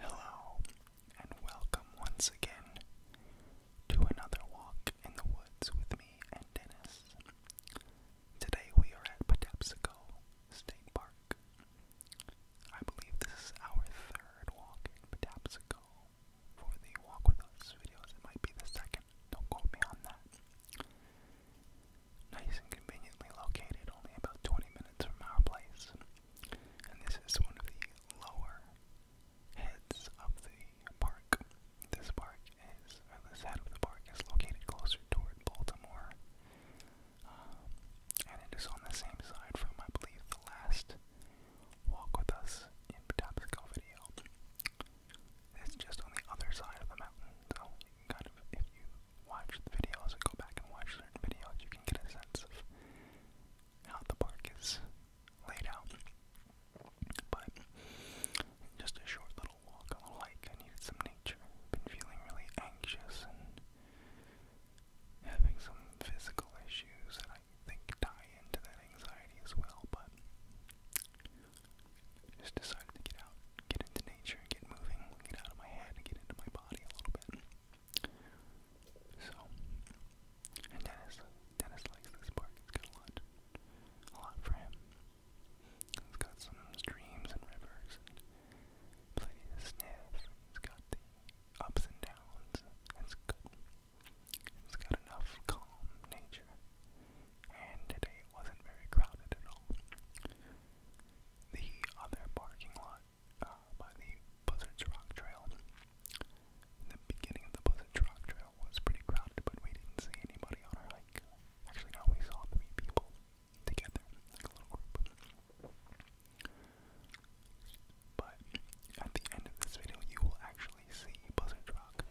Hello, and welcome once again to another walk in the woods with me and Dennis. Today we are at Patapsco State Park. I believe this is our third walk in Patapsco. For the walk with us videos, it might be the second. Don't quote me on that nice and conveniently located, only about 20 minutes from our place. And this is one of the lower heads of the park. This park is, or this head of the park is located closer toward Baltimore. Um, and it is on the same side from, I believe, the last Walk With Us in Patapsco video. It's just on the other side of the mountain, so kind of if you watch the videos and go back and watch certain videos, you can get a sense of how the park is laid out. But just a short little walk, a little hike. I needed some nature. Been feeling really anxious and having some physical issues that I think tie into that anxiety as well. But just decided to get out, get into nature, get moving, get out of my head, and get into my body body a little bit. So, and Dennis, Dennis likes this park. It's got a lot, a lot for him. It's got some streams and rivers and plenty to sniff. It's got the ups and downs. It's good. It's got enough calm nature. And today it wasn't very crowded at all the other parking lot uh, by the Buzzards Rock Trail. The beginning of the Buzzards Rock Trail was pretty crowded, but we didn't see anybody on our hike. Actually, no, we saw three people together, like a little group. But at the end of this video, you will actually see Buzzard Rock.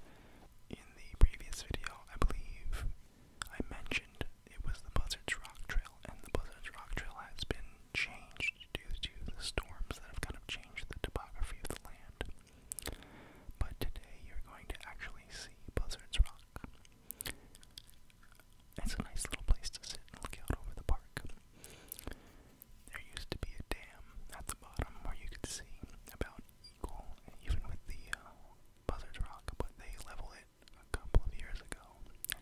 In the previous video, I believe I mentioned it was the Buzzards Rock Trail, and the Buzzards Rock Trail has been changed due to the storms that have kind of changed the topography of the land. But today you're going to actually see Buzzards Rock. It's a nice little place to sit and look out over the park. There used to be a dam at the bottom where you could see about equal, even with the uh, Buzzards Rock, but they level it a couple of years ago.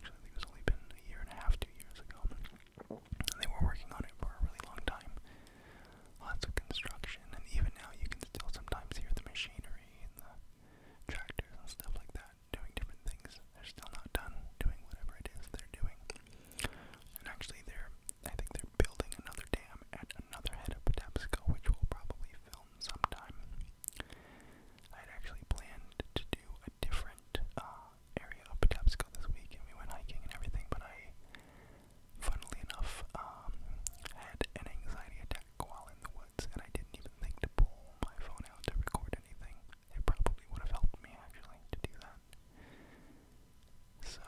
Actually, I think it's only been a year and a half, two years ago. And they were working on it for a really long time. Lots of construction, and even now you can still sometimes hear the machinery and the tractors and stuff like that doing different things. They're still not done doing whatever it is they're doing. And actually, they're I think they're building another dam at another head of Patapsco, which will probably fill film sometime. I had actually planned to do a different uh, area of Patapsco this week, and we went hiking and everything, but I, funnily enough, um, had an anxiety attack while in the woods, and I didn't even think to pull my phone out to record anything. It probably would have helped me, actually, to do that. So,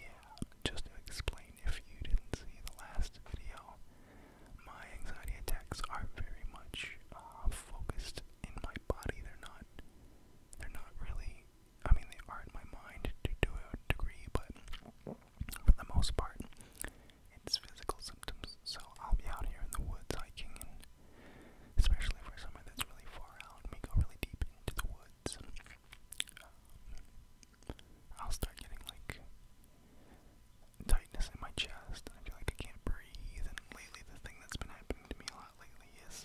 yeah, just to explain if you didn't see the last video, my anxiety attacks are very much uh, focused in my body. They're not. They're not really. I mean, they are in my mind to to a degree, but for the most part, it's physical symptoms. So I'll be out here in the woods hiking, and especially for somewhere that's really far out, and we go really deep into the woods. Um, I'll start getting like tightness in my chest, and I feel like I can't breathe. And lately, the thing that's been happening to me a lot lately is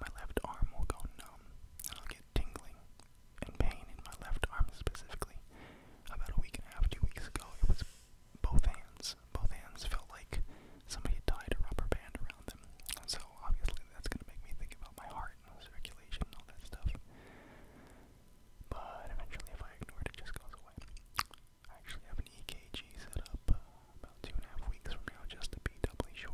my left arm will go numb, and I'll get tingling and pain in my left arm specifically. About a week and a half, two weeks ago, it was both hands. Both hands felt like somebody tied a rubber band around them. So obviously, that's gonna make me think about my heart and circulation and all that stuff but eventually if I ignore it, it just goes away. I actually have an EKG set up uh, about two and a half weeks from now just to be doubly sure.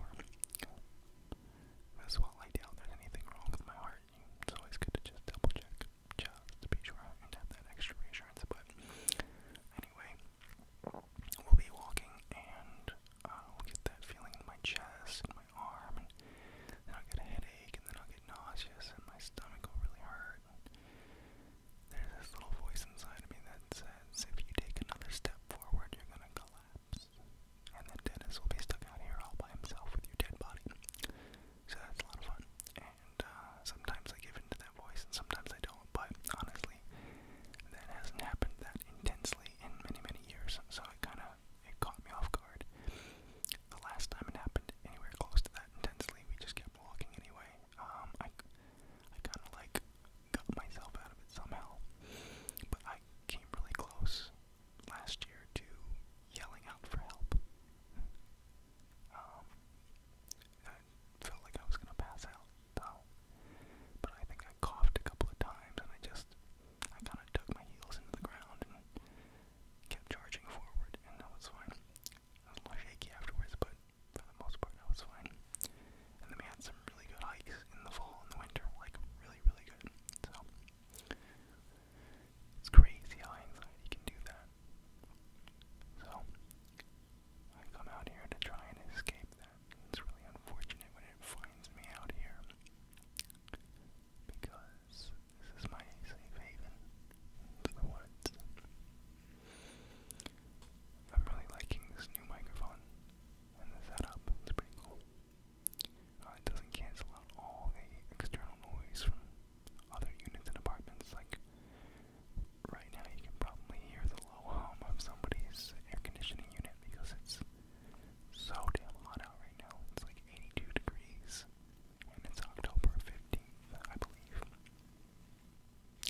As well, I doubt there's anything wrong with my heart. It's always good to just double check just to be sure and have that extra reassurance. But anyway, we'll be walking and I'll uh, get that feeling in my chest arm, and then I'll get a headache, and then I'll get nauseous, and my stomach will really hurt. And there's this little voice inside of me that says, if you take another step forward, you're gonna collapse. And then Dennis will be stuck out here all by himself with your dead body. So that's a lot of fun. And uh, sometimes I give in to that voice, and sometimes I don't, but honestly, that hasn't happened that intensely in many, many years, so I kind of it caught me off guard. The last time it happened anywhere close to that intensely, we just kept walking anyway. Um, I, I kind of like got myself out of it somehow, but I came really close last year to yelling out for help. Um, I felt like I was gonna pass out though, but I think I coughed a couple of times and I just, I kind of dug my heels into the ground kept charging forward, and that was fine. I was a little shaky afterwards, but for the most part, that was fine. And then we had some really good hikes in the fall and the winter, like really, really good. So it's crazy how anxiety can do that. So I come out here to try and escape that. It's really unfortunate when it finds me out here because this is my safe haven into the woods. I'm really liking this new microphone and the setup, it's pretty cool. Uh, it doesn't cancel out all the external noise from other units and apartments. Like right now, you can probably hear the low hum of somebody's air conditioning unit because it's so damn hot out right now. It's like 82 degrees, and it's October 15th, I believe.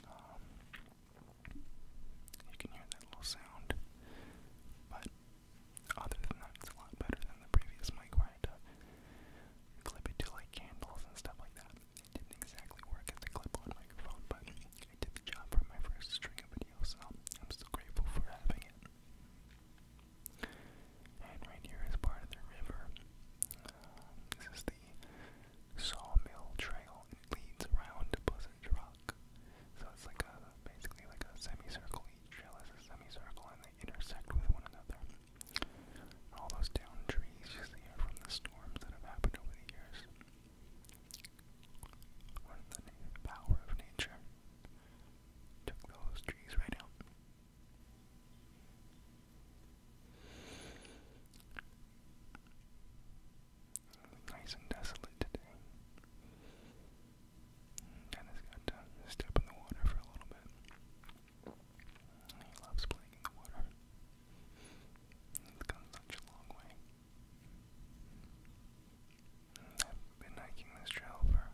Um, you can hear that little sound, but other than that, it's a lot better than the previous mic I had to clip to like candles and stuff like that. didn't exactly work as a clip-on microphone, but it did the job for my first string of videos, so I'm still grateful for having it. And right here is part of the river. Uh, this is the Sawmill Trail. It leads around to Pleasant Rock. So it's like a basically like a semicircle. Each trail is a semicircle and they intersect with one another. And all those down trees you see are from the storms that have happened over the years. What the power of nature. Took those trees right out. Nice and desolate today. I got to step in the water for a little bit. He loves playing in the water. He's gone such a long way. I've been hiking this trail for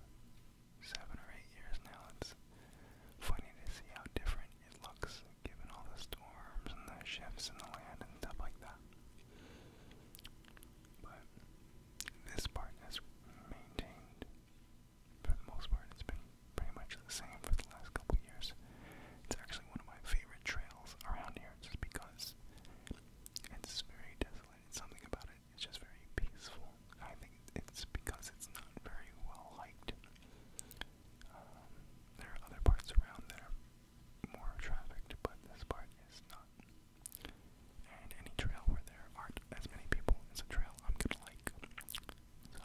seven or eight years now. It's funny to see how different it looks given all the storms and the shifts in the land and stuff like that. But this part has maintained, for the most part, it's been pretty much the same for the last couple of years. It's actually one of my favorite trails around here just because it's very desolate. It's something about it it's just very peaceful. I think it's because it's not very well liked. Um, there are other parts around that more trafficked, but this part is not. And any trail where there aren't as many people is a trail I'm gonna like. So.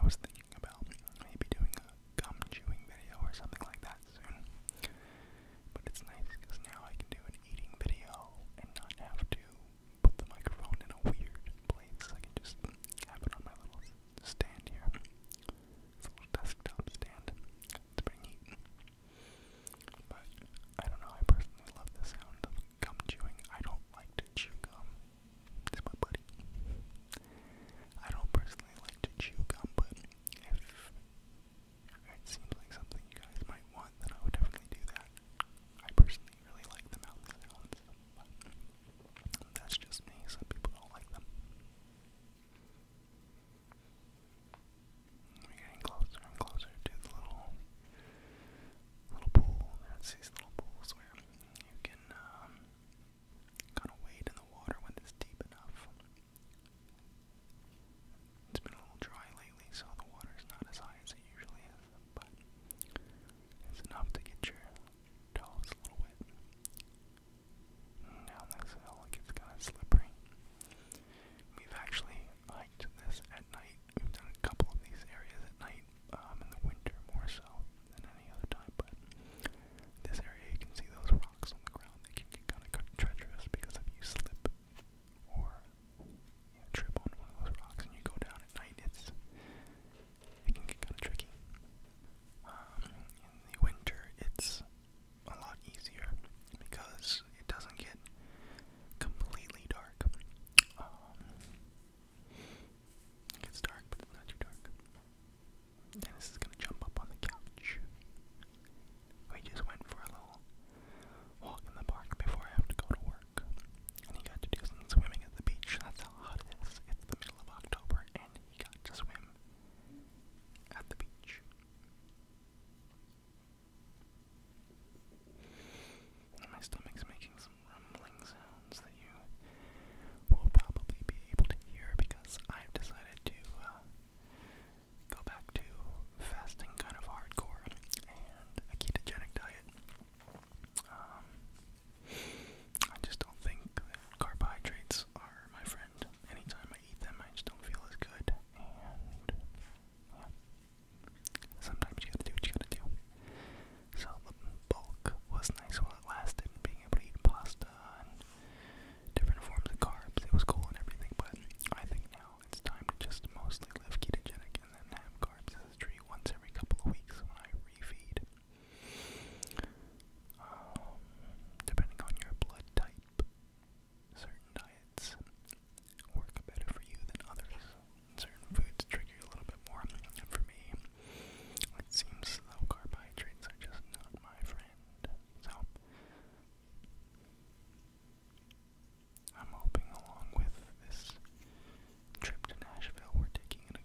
I was thinking thinking about maybe doing a gum chewing video or something like that soon. But it's nice because now I can do an eating video and not have to put the microphone in a weird place. I can just have it on my little stand here. little desktop stand. It's pretty neat. But I don't know, I personally love the sound of gum chewing. I don't like to chew gum it's my buddy. I don't personally like to chew gum, but if it seems like something you guys might want, then I would definitely do that. I personally really like the mouth sounds, but that's just me. Some people don't like them. We're getting closer and closer to the little little pool. That's these little pools where you can um, kind of wade in the water when it's deep enough. It's been a little dry lately, so the water's not as high as it usually is, but it's enough to get your toes a little wet. Down this hill, it kind of slippery. We've actually hiked this at night. We've done a couple of these areas at night. Um, in the winter more so than any other time, but this area you can see those rocks on the ground, they can get kind of treacherous because if you slip or trip on one of those rocks and you go down at night, it's, it can get kind of tricky. Um, in the winter, it's a lot easier because it doesn't get completely dark. Um, it's dark, but it's not too dark. And this is gonna jump up on the couch. We just went for a little walk in the park before I have to go to work. And he got to do some swimming at the beach. That's how hot it is. It's the middle of October, and he got to swim at the beach. my stomach's making some rumbling sounds that you will probably be able to hear because I've decided to uh, go back to fasting kind of hardcore and a ketogenic diet. Um, I just don't think that carbohydrates are my friend. Anytime I eat them, I just don't feel as good. And sometimes you gotta do what you gotta do. So the bulk was nice while it lasted, being able to eat pasta and different forms of carbs. It was cool and everything, but I think now it's time to just mostly live ketogenic and then have carbs as a treat once every couple of weeks when I refeed. Um, depending on your blood type, certain diets work better for you than others. Certain foods trigger you a little bit more. And for me, it seems as though carbohydrates are just not my friend. So I'm hoping along with this trip to Nashville we're taking in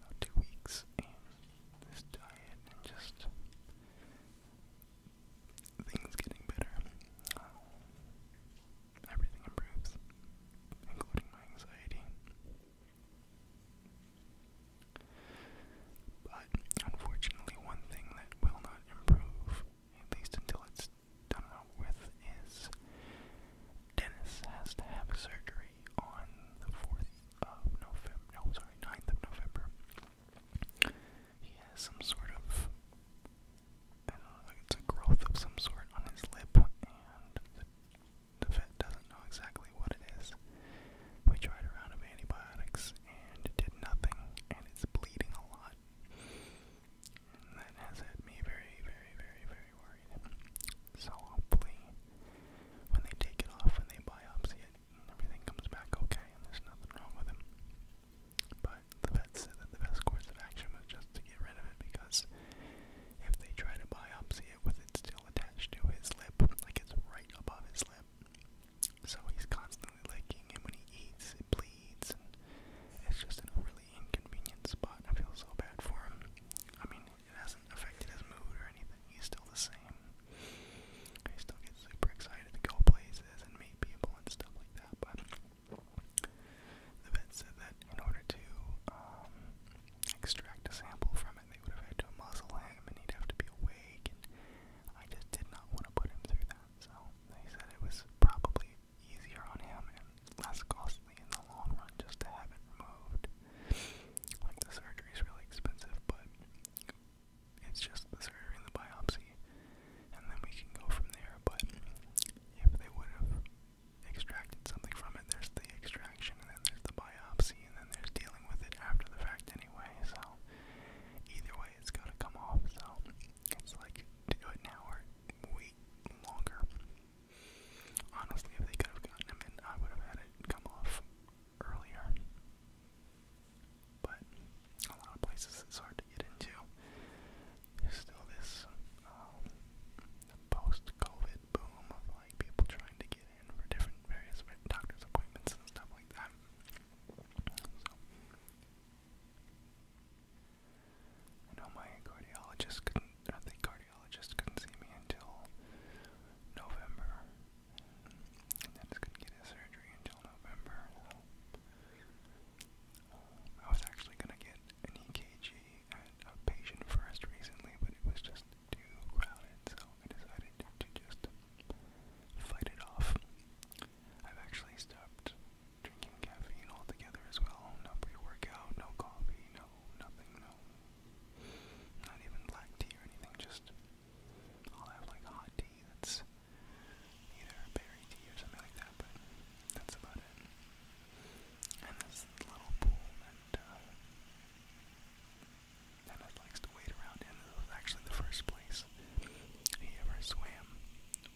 about two weeks and this diet and just things getting better. Um, everything improves, including my anxiety. But unfortunately, one thing that will not improve, at least until it's done with, is Dennis has to have surgery on the 4th of November. No, sorry, 9th of November. He has some sort of. I don't know, it's a growth of some sort on his lip, and the vet doesn't know exactly what it is. We tried a round of antibiotics and it did nothing, and it's bleeding a lot. And that has had me very, very, very, very worried. So hopefully, when they take it off, when they biopsy it, everything comes back okay and there's nothing wrong with him. But the vet said that the best course of action was just to get rid of it because if they try to biopsy it still attached to his lip, like it's right above his lip. So he's constantly licking, and when he eats, it bleeds, it's just in a really inconvenient spot. I feel so bad for him. I mean, it hasn't affected his mood or anything. He's still the same. He still gets super excited to go places and meet people and stuff like that. But the vet said that in order to um, extract a sample from it, they would have had to muzzle him and he'd have to be awake, and I just did not want to put him through that. So they said it was probably easier on him and less costly in the long run just to have it removed. Like the surgery's really expensive, but it's just the surgery and the biopsy, and then we can go from there. But if they would have extracted something from it. There's the extraction, and then there's the biopsy, and then there's dealing with it after the fact anyway. So either way, it's gonna come off. So it's like do it now or wait longer. Honestly, if they could have gotten him in, I would have had it come off earlier. But a lot of places it's hard to get into. There's still this um, the post-COVID boom of like people trying to get in for different various doctor's appointments and stuff like that. So, I know my cardiologist couldn't, or cardiologist couldn't see me until November, and then just couldn't get his surgery until November. I was actually gonna get an EKG at a patient first recently, but it was just too crowded, so I decided to just fight it off. I've actually stopped drinking caffeine altogether as well. No pre-workout, no coffee, no nothing, no, not even black tea or anything. Just I'll have like hot tea that's either berry tea or something like that, but that's about it and this little pool that, Ned uh, likes to wade around in. was actually the first place he ever swam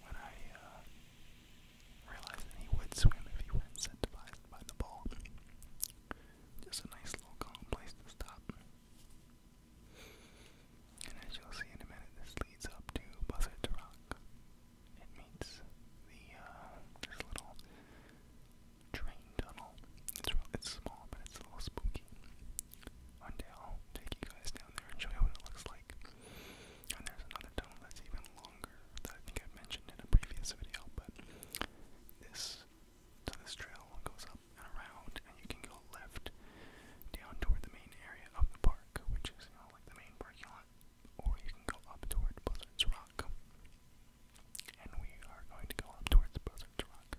when I uh, realized that he would swim if he were incentivized by the ball. Just a nice little calm place to stop. And as you'll see in a minute, this leads up to to Rock, it meets the uh, little train tunnel. It's small, but it's a little spooky. One day I'll take you guys down there and show you what it looks like. And there's another tunnel that's even longer that I think I mentioned in a previous video, but this so this trail goes up and around, and you can go left down toward the main area of the park, which is like the main parking Rock, or you can go up toward Buzzard's Rock. And we are going to go up towards Buzzard's Rock.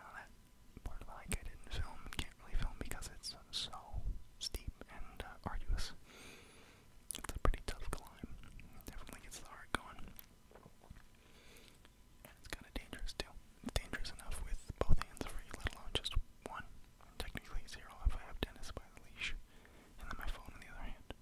Now that part of like I didn't film, can't really film because it's so steep and uh, arduous. It's a pretty tough climb. definitely gets the heart going. And it's kind of dangerous too. It's dangerous enough with both hands free, let alone just one. Technically zero if I have Dennis by the leash, and then my phone in the other hand.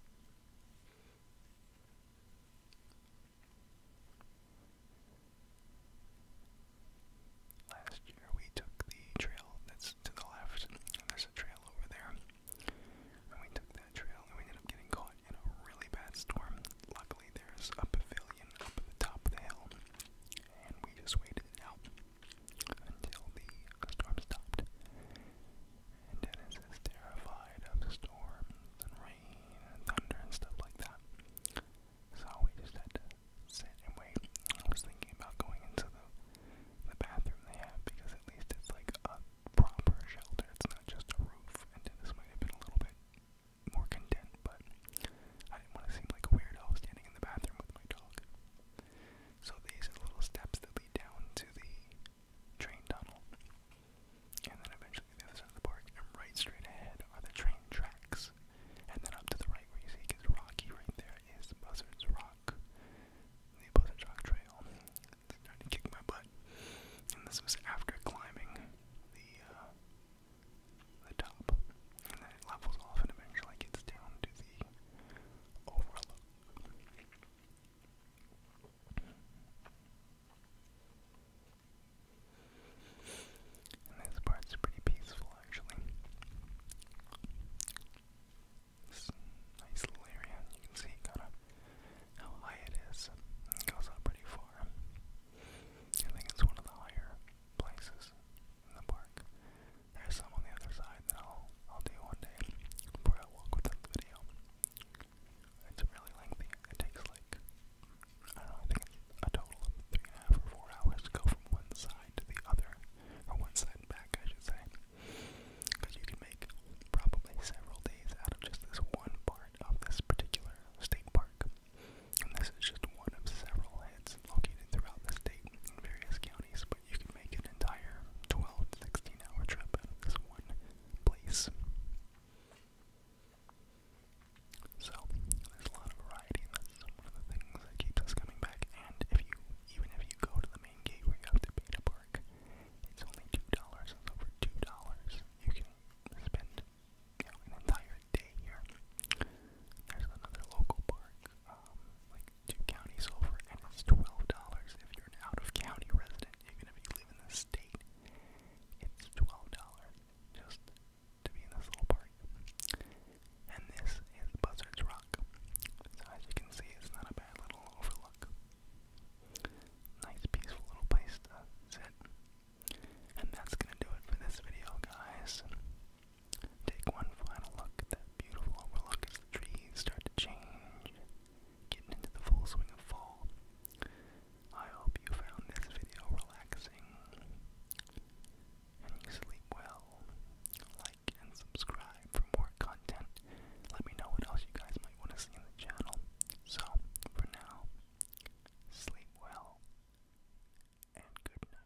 Last year we took the trail that's to the left. and There's a trail over there. And we took that trail and we ended up getting caught in a really bad storm. Luckily there's a pavilion up at the top of the hill. And we just waited it out until the storm stopped. Dennis is terrified of storms and rain and thunder and stuff like that. So we just had to sit and wait. I was thinking about going into the the bathroom they have because at least it's like a proper shelter. It's not just a roof. And Dennis might have been a little bit more content, but I didn't want to seem like a weirdo standing in the bathroom with my dog. So these are the little steps that lead down to the train tunnel. And then eventually the other side of the park, and right straight ahead are the train tracks. And then up to the right where you see it rocky right there is the Buzzards Rock. The Buzzards Rock Trail. It's trying to kick my butt. And this was after climbing the uh, the top. And then it levels off and eventually gets down to the overlook. And this part's pretty peaceful, actually. nice little area, you can see how high it is. It goes up pretty far. I think it's one of the higher places in the park. There's some on the other side that I'll I'll do one day before I walk with the video. It's really lengthy. It takes like I don't think it's a total of three and a half or four hours to go from one side to the other. Or one side back I should say. Because you can make probably several days out of just this one part of this particular state park. And this is just one of several heads located throughout the state in various counties but you can make an entire 12 hour trip out of this one place. So, there's a lot of variety, and that's one of the things that keeps us coming back. And if you, even if you go to the main gate where you have to pay to park, it's only $2. It's over $2. You can spend an entire day here. There's another local park um, like two counties over, and it's twelve dollars. If you're an out-of-county resident, even if you live in the state, it's twelve dollars just to be in this little park. And this is Buzzard's Rock. So as you can see, it's not a bad little overlook. Nice, peaceful little place to sit. And that's gonna do it for this video, guys. Take one final look at that beautiful overlook as trees start to change, getting into the full swing of fall. I hope you found this video relaxing and you sleep well. Like and subscribe for more content. Let me know what else you guys might want to see in the channel. So, for now, sleep well and good night.